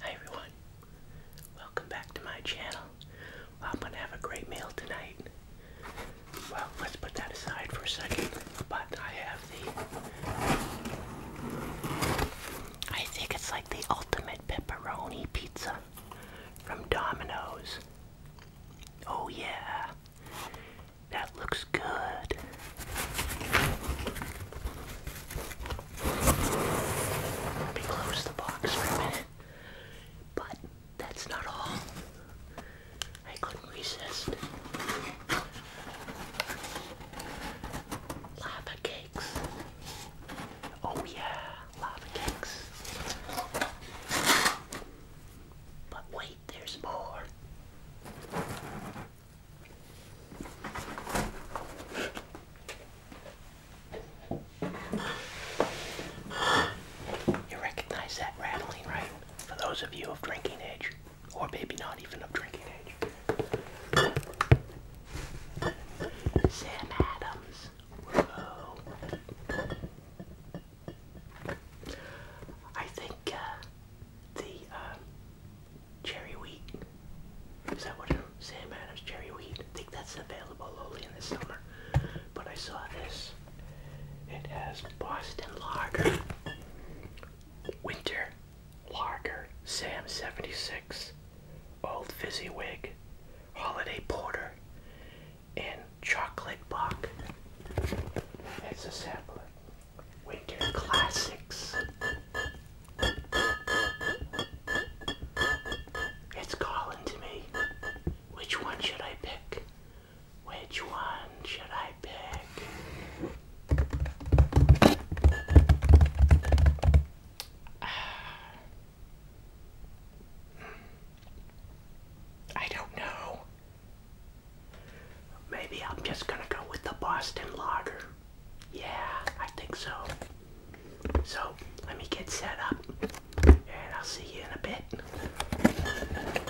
Hi everyone, welcome back to my channel. I'm gonna have a great meal tonight. Well, let's put that aside for a second. But I have the, I think it's like the ultimate pepperoni pizza from Domino's. Oh yeah, that looks good. Let me close the box for a minute. But that's not all. I couldn't resist. Lava cakes. Oh yeah, lava cakes. But wait, there's more. You recognize that rattling, right? For those of you of drinking age, or maybe not even of drinking age. Sam Adams. I think uh, the uh, cherry wheat. Is that what Sam Adams cherry wheat? I think that's available only in the summer. But I saw this. It has Boston Lager, Winter Lager, Sam 76, Old Fizziwig, Holiday Porter, and Chocolate Buck. It's a sampler. Winter Classics. It's calling to me. Which one should I pick? Which one should I pick? I don't know. Maybe I'm just gonna go with the Boston Lager. Yeah, I think so. So, let me get set up and I'll see you in a bit.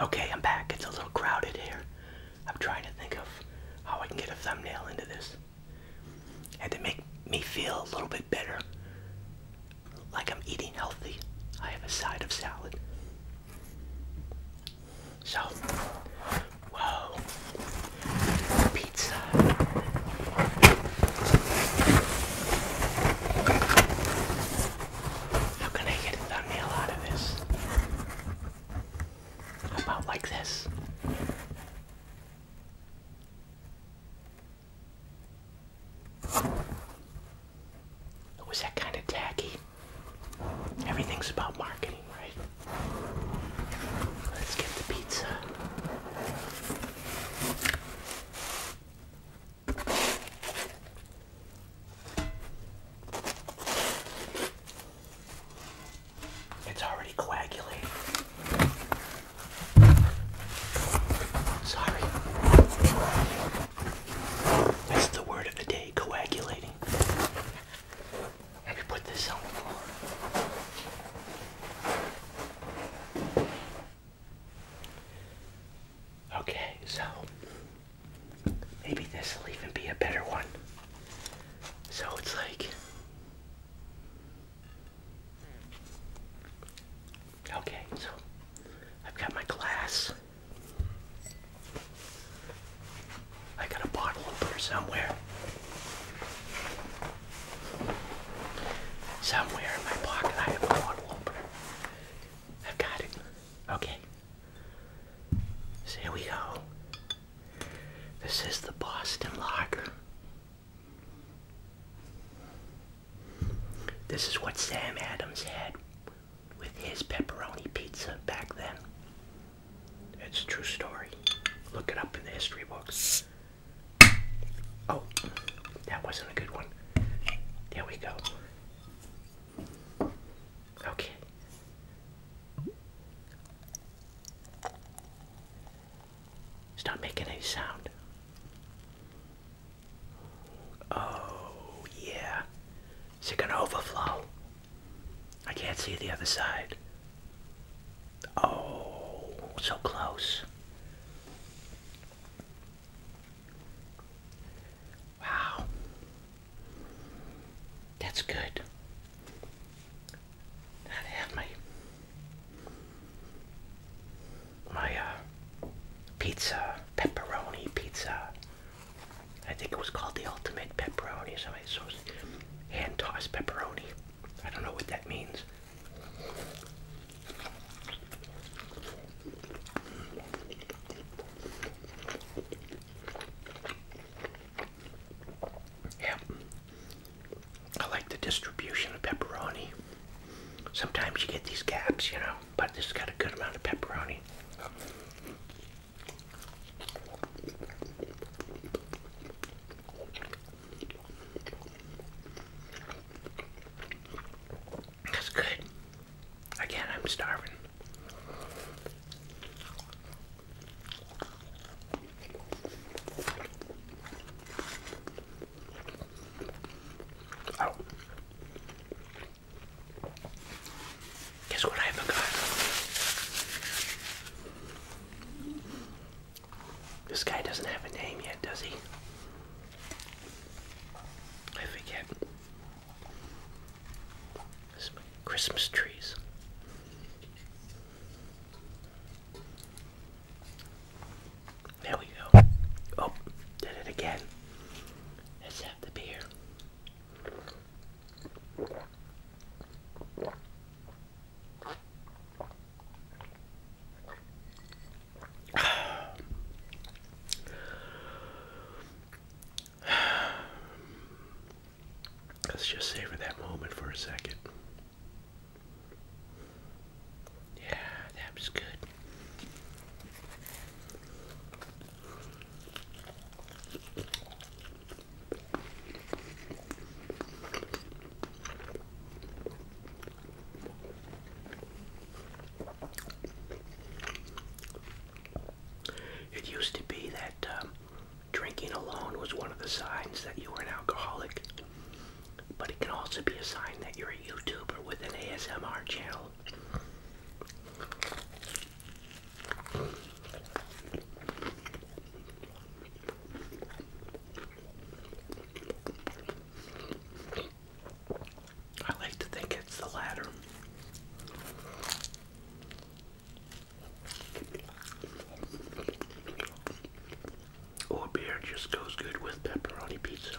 Okay, I'm back. It's a little crowded here. I'm trying to think of how I can get a thumbnail into this. And to make me feel a little bit better, like I'm eating healthy, I have a side of salad. So, whoa, pizza. How can I get a thumbnail out of this? How about like this? Was that kind of tacky? Everything's about marketing, right? Let's get the pizza. It's already coagulating. Sorry. That's the word of the day, coagulating. Let me put this on the floor. Okay, so maybe this will even be a better one. So it's like. Okay, so I've got my glass. I got a bottle of her somewhere. Somewhere in my pocket I have a bottle opener. I've got it. Okay. So here we go. This is the Boston Lager. This is what Sam Adams had with his pepperoni pizza back then. It's a true story. Look it up in the history books. Oh, that wasn't a good one. There we go. Okay. It's not making any sound. Oh, yeah. Is it going to overflow? I can't see the other side. Oh, so close. Wow. That's good. I have my my uh, pizza, pepperoni pizza I think it was called the Ultimate Pepperoni. So I so hand tossed pepperoni. I don't know what that means. Yeah, I like the distribution of pepperoni. Sometimes you get these gaps, you know but this has got a good amount of pepperoni. That's good. Again, I'm starving. Oh. Guess what I forgot? This guy doesn't have a name yet, does he? I forget. Christmas trees. There we go. Oh, did it again the beer. Let's just savor that moment for a second. Yeah, that was good. It used to be that um, drinking alone was one of the signs that you were an alcoholic, but it can also be a sign that you're a YouTuber with an ASMR channel I like to think it's the latter. Or oh, beer just goes good with pepperoni pizza.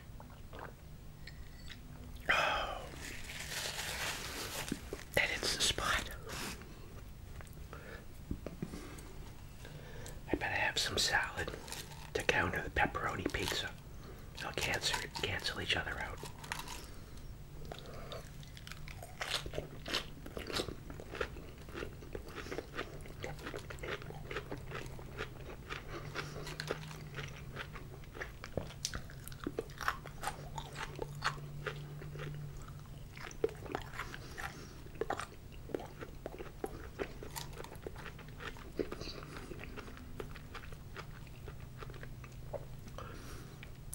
Oh, that the spot. I better have some salad to counter the pepperoni pizza. They'll cancel, cancel each other out.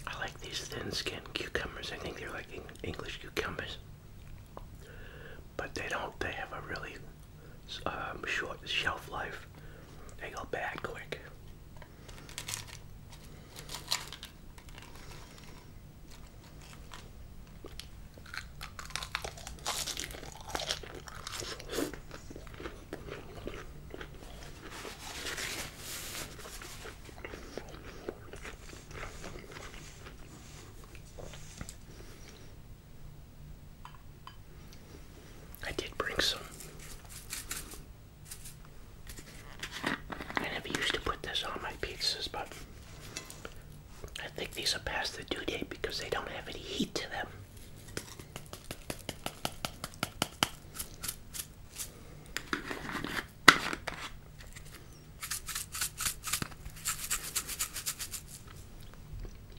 I like these thin skinned cucumbers. I think they're like English cucumbers. But they don't, they have a really um, short shelf life. They go bad quick. I did bring some. I used to put this on my pizzas, but I think these are past the due date because they don't have any heat to them.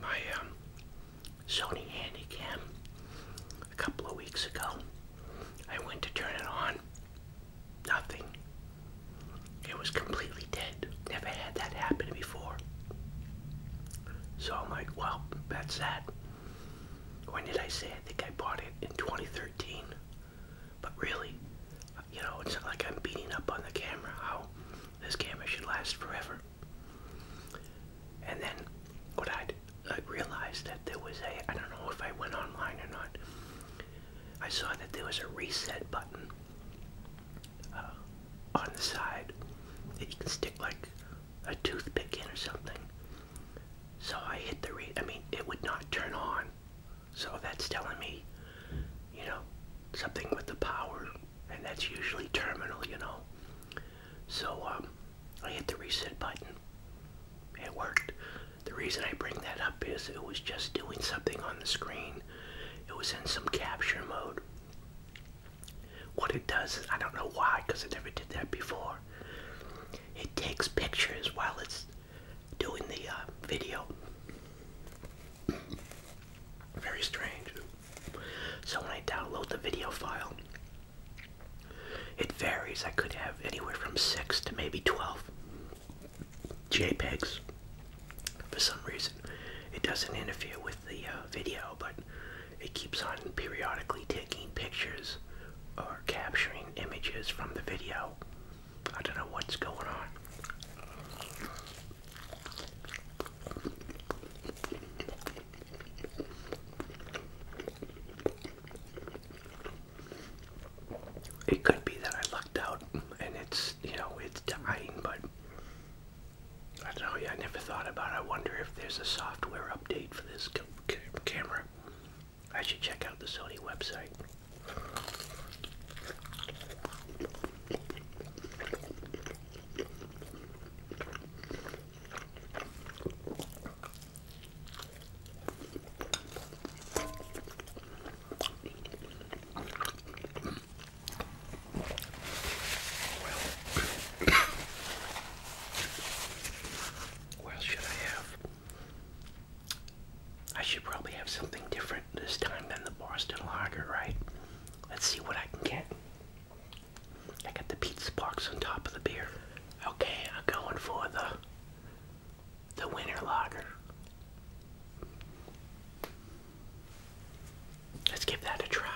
My um, Sony Handycam a couple of weeks ago, I went to turn it on Nothing. It was completely dead. Never had that happen before. So I'm like, well, that's that. When did I say? I think I bought it in 2013. But really, you know, it's not like I'm beating up on the camera how this camera should last forever. And then what i I realized that there was a, I don't know if I went online or not, I saw that there was a reset button uh, on the side that you can stick like a toothpick in or something. So I hit the re I mean, it would not turn on. So that's telling me, you know, something with the power, and that's usually terminal, you know. So um, I hit the reset button, it worked. The reason I bring that up is it was just doing something on the screen. It was in some capture mode. What it does I don't know why, because I never did that before. It takes pictures while it's doing the uh, video. Very strange. So when I download the video file, it varies. I could have anywhere from 6 to maybe 12 JPEGs. For some reason, it doesn't interfere with the uh, video, but it keeps on periodically taking pictures or capturing images from the video. I don't know what's going on. It could be that I lucked out and it's, you know, it's dying, but I tell I never thought about it. I wonder if there's a software update for this camera. I should check out the Sony website. Well, well, should I have? I should probably have something different this time than the Boston Lager, right? Let's see what I can get. I got the pizza box on top of the beer. Okay, I'm going for the the winter lager. Let's give that a try.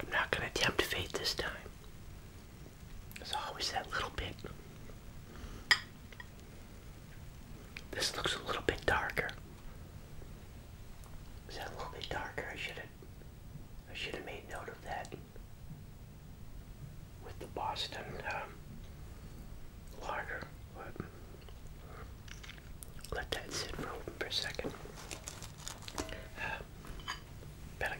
I'm not going to attempt fate this time. There's always that little bit. This looks a little bit darker. Is that a little bit darker? I should have I should have made note of that with the Boston um, let that sit for, a second. Uh, better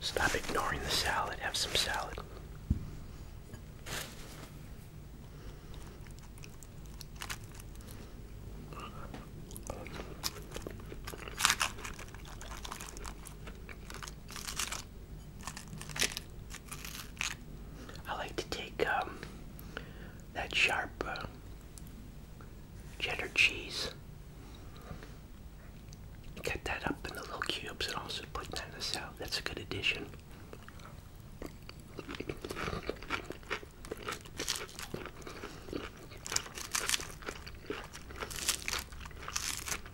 stop ignoring the salad. Have some salad. I like to take um, that sharp uh, cheddar cheese, cut that up into little cubes, and also put that in the salad. That's a good addition.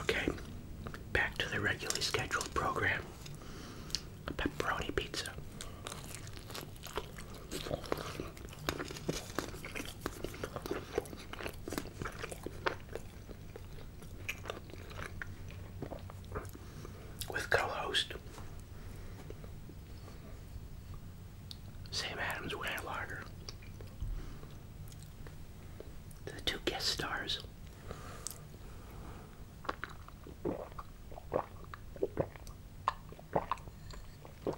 Okay, back to the regularly scheduled program pepperoni pizza with co-host Sam Adams Wiener Lager. The two guest stars. I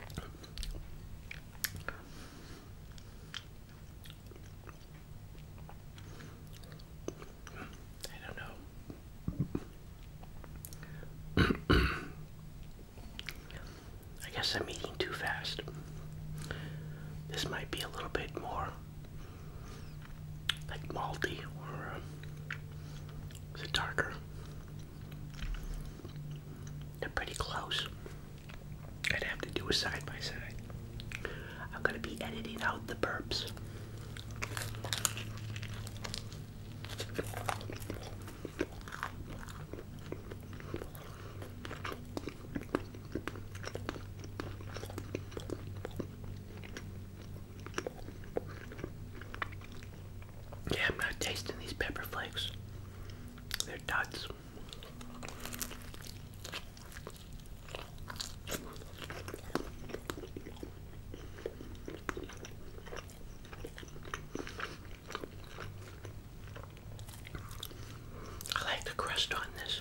don't know. I guess I'm eating too fast. This might be a little bit more like malty or uh, is it darker? They're pretty close. I'd have to do a side by side. I'm gonna be editing out the burps. Yeah, I'm not tasting these pepper flakes. They're duds. I like the crust on this.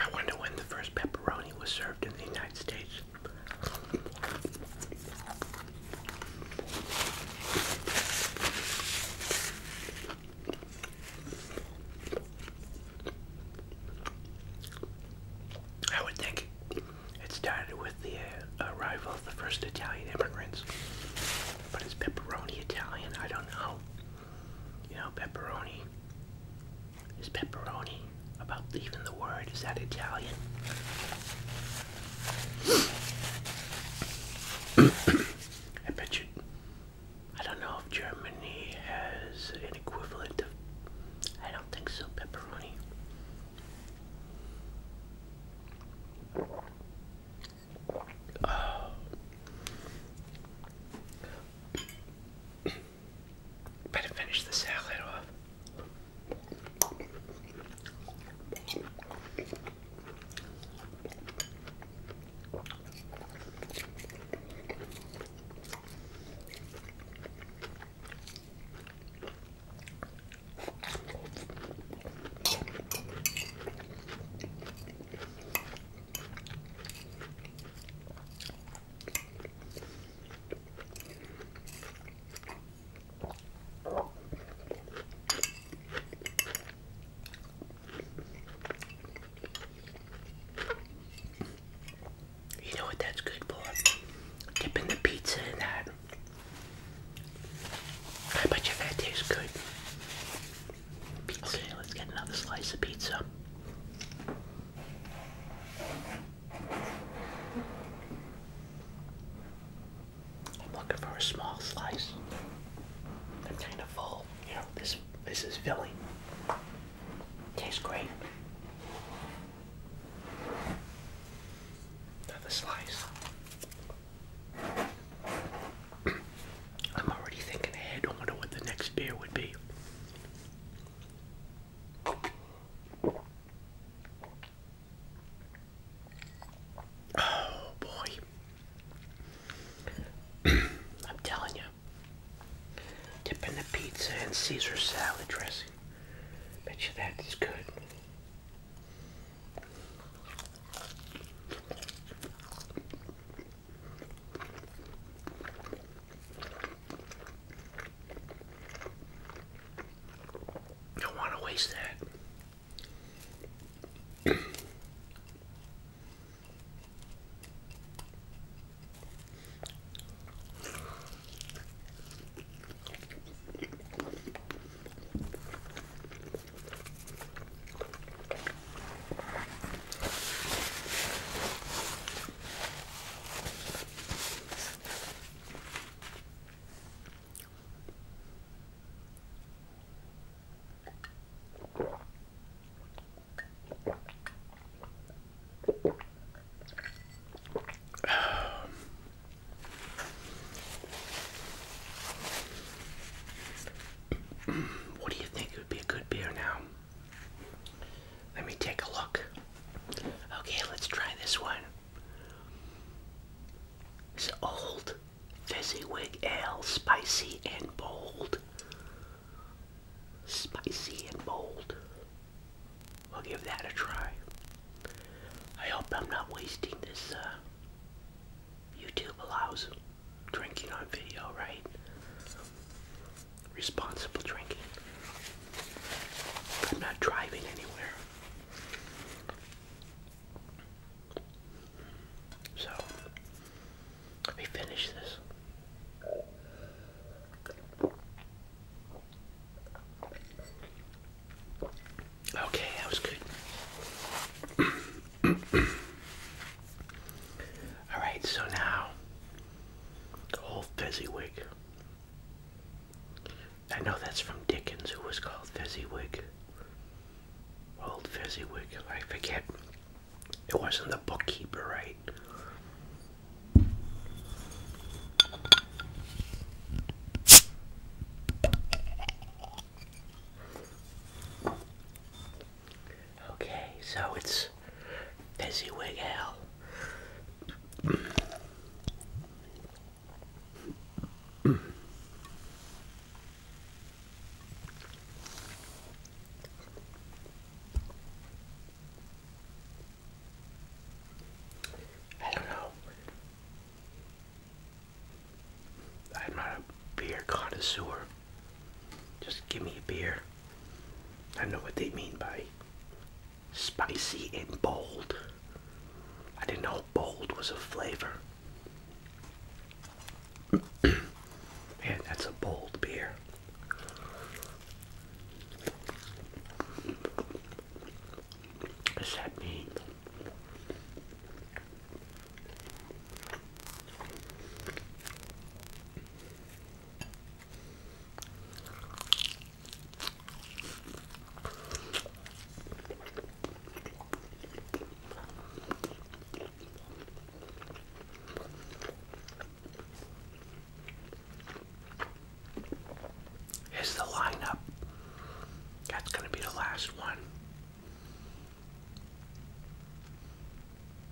I wonder when the first pepperoni was served in the United States. I would think it started with the uh, arrival of the first Italian immigrants. But is pepperoni Italian? I don't know. You know, pepperoni is pepperoni. About even the word, is that Italian? I bet you, I don't know if Germany has an equivalent of, I don't think so, pepperoni. Better finish this salad off. You know what that's good for? Dipping the pizza in that. I bet you that tastes good. Pizza. let's get another slice of pizza. I'm looking for a small slice. I'm kind of full. You know, this this is filling. Tastes great. Another slice. I'm already thinking ahead. wonder what the next beer would be. Oh boy. I'm telling you. Dipping the pizza in Caesar salad dressing. Bet you that is good. Don't want to waste that what do you think would be a good beer now? Let me take a look. Okay, let's try this one. It's old Fezziwig ale, spicy and bold. Spicy and bold. We'll give that a try. I hope I'm not wasting this. Uh, YouTube allows drinking on video, right? responsible drinking. I'm not driving anywhere. So, let me finish this. Okay, that was good. All right, so now Old Fezziwig. I know that's from Dickens, who was called Fezziwig. Old Fezziwig, I forget. It wasn't the bookkeeper, right? Okay, so it's is Fezzy I don't know. I'm not a beer connoisseur. Just give me a beer. I know what they mean by spicy and bold. I didn't know bold was a flavor. Man, that's a bold beer. What does that mean? Is the lineup? That's going to be the last one.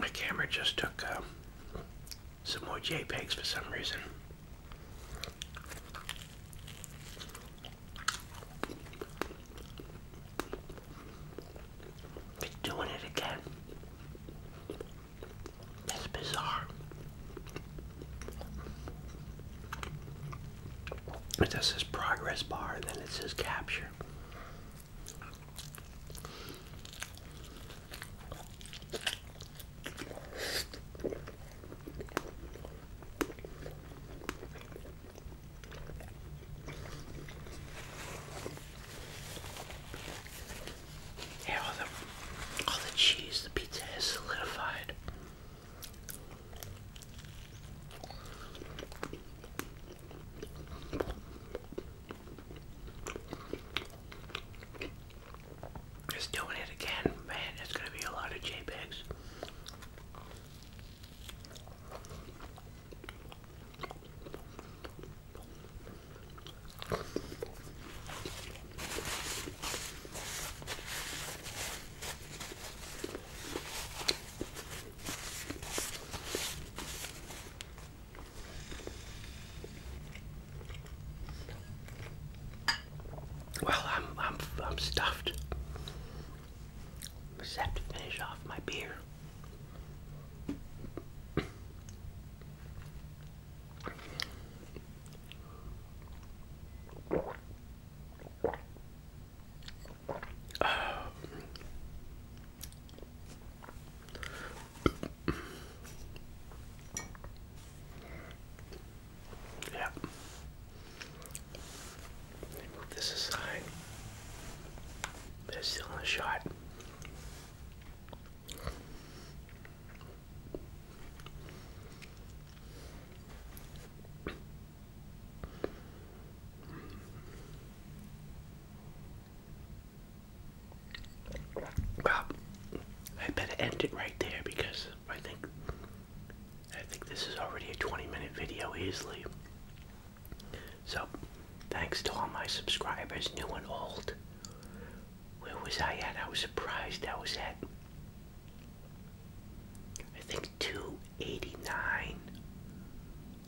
My camera just took uh, some more JPEGs for some reason. It's doing it again. That's bizarre. It just says progress bar then it says capture. Yeah, all the, all the cheese, the pizza is solidified. Just doing it again, man, it's gonna be a lot of JPEGs. Well, I'm I'm I'm stuffed. Set to finish off my beer. yeah. Let me move this aside. They're still in shot. Well, I better end it right there because I think I think this is already a 20 minute video easily. So, thanks to all my subscribers, new and old. Where was I at? I was surprised I was at, I think, 289.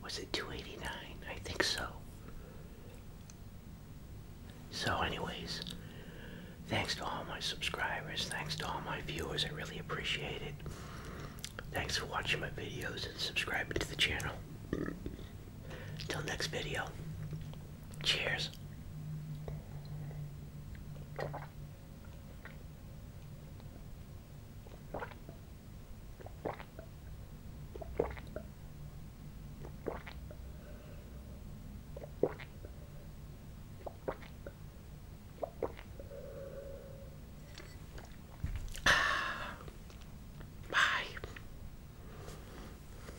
Was it 289? I think so. So, anyways, thanks to all my subscribers, thanks to all my viewers, I really appreciate it. Thanks for watching my videos and subscribing to the channel. Until next video. Cheers. Bye.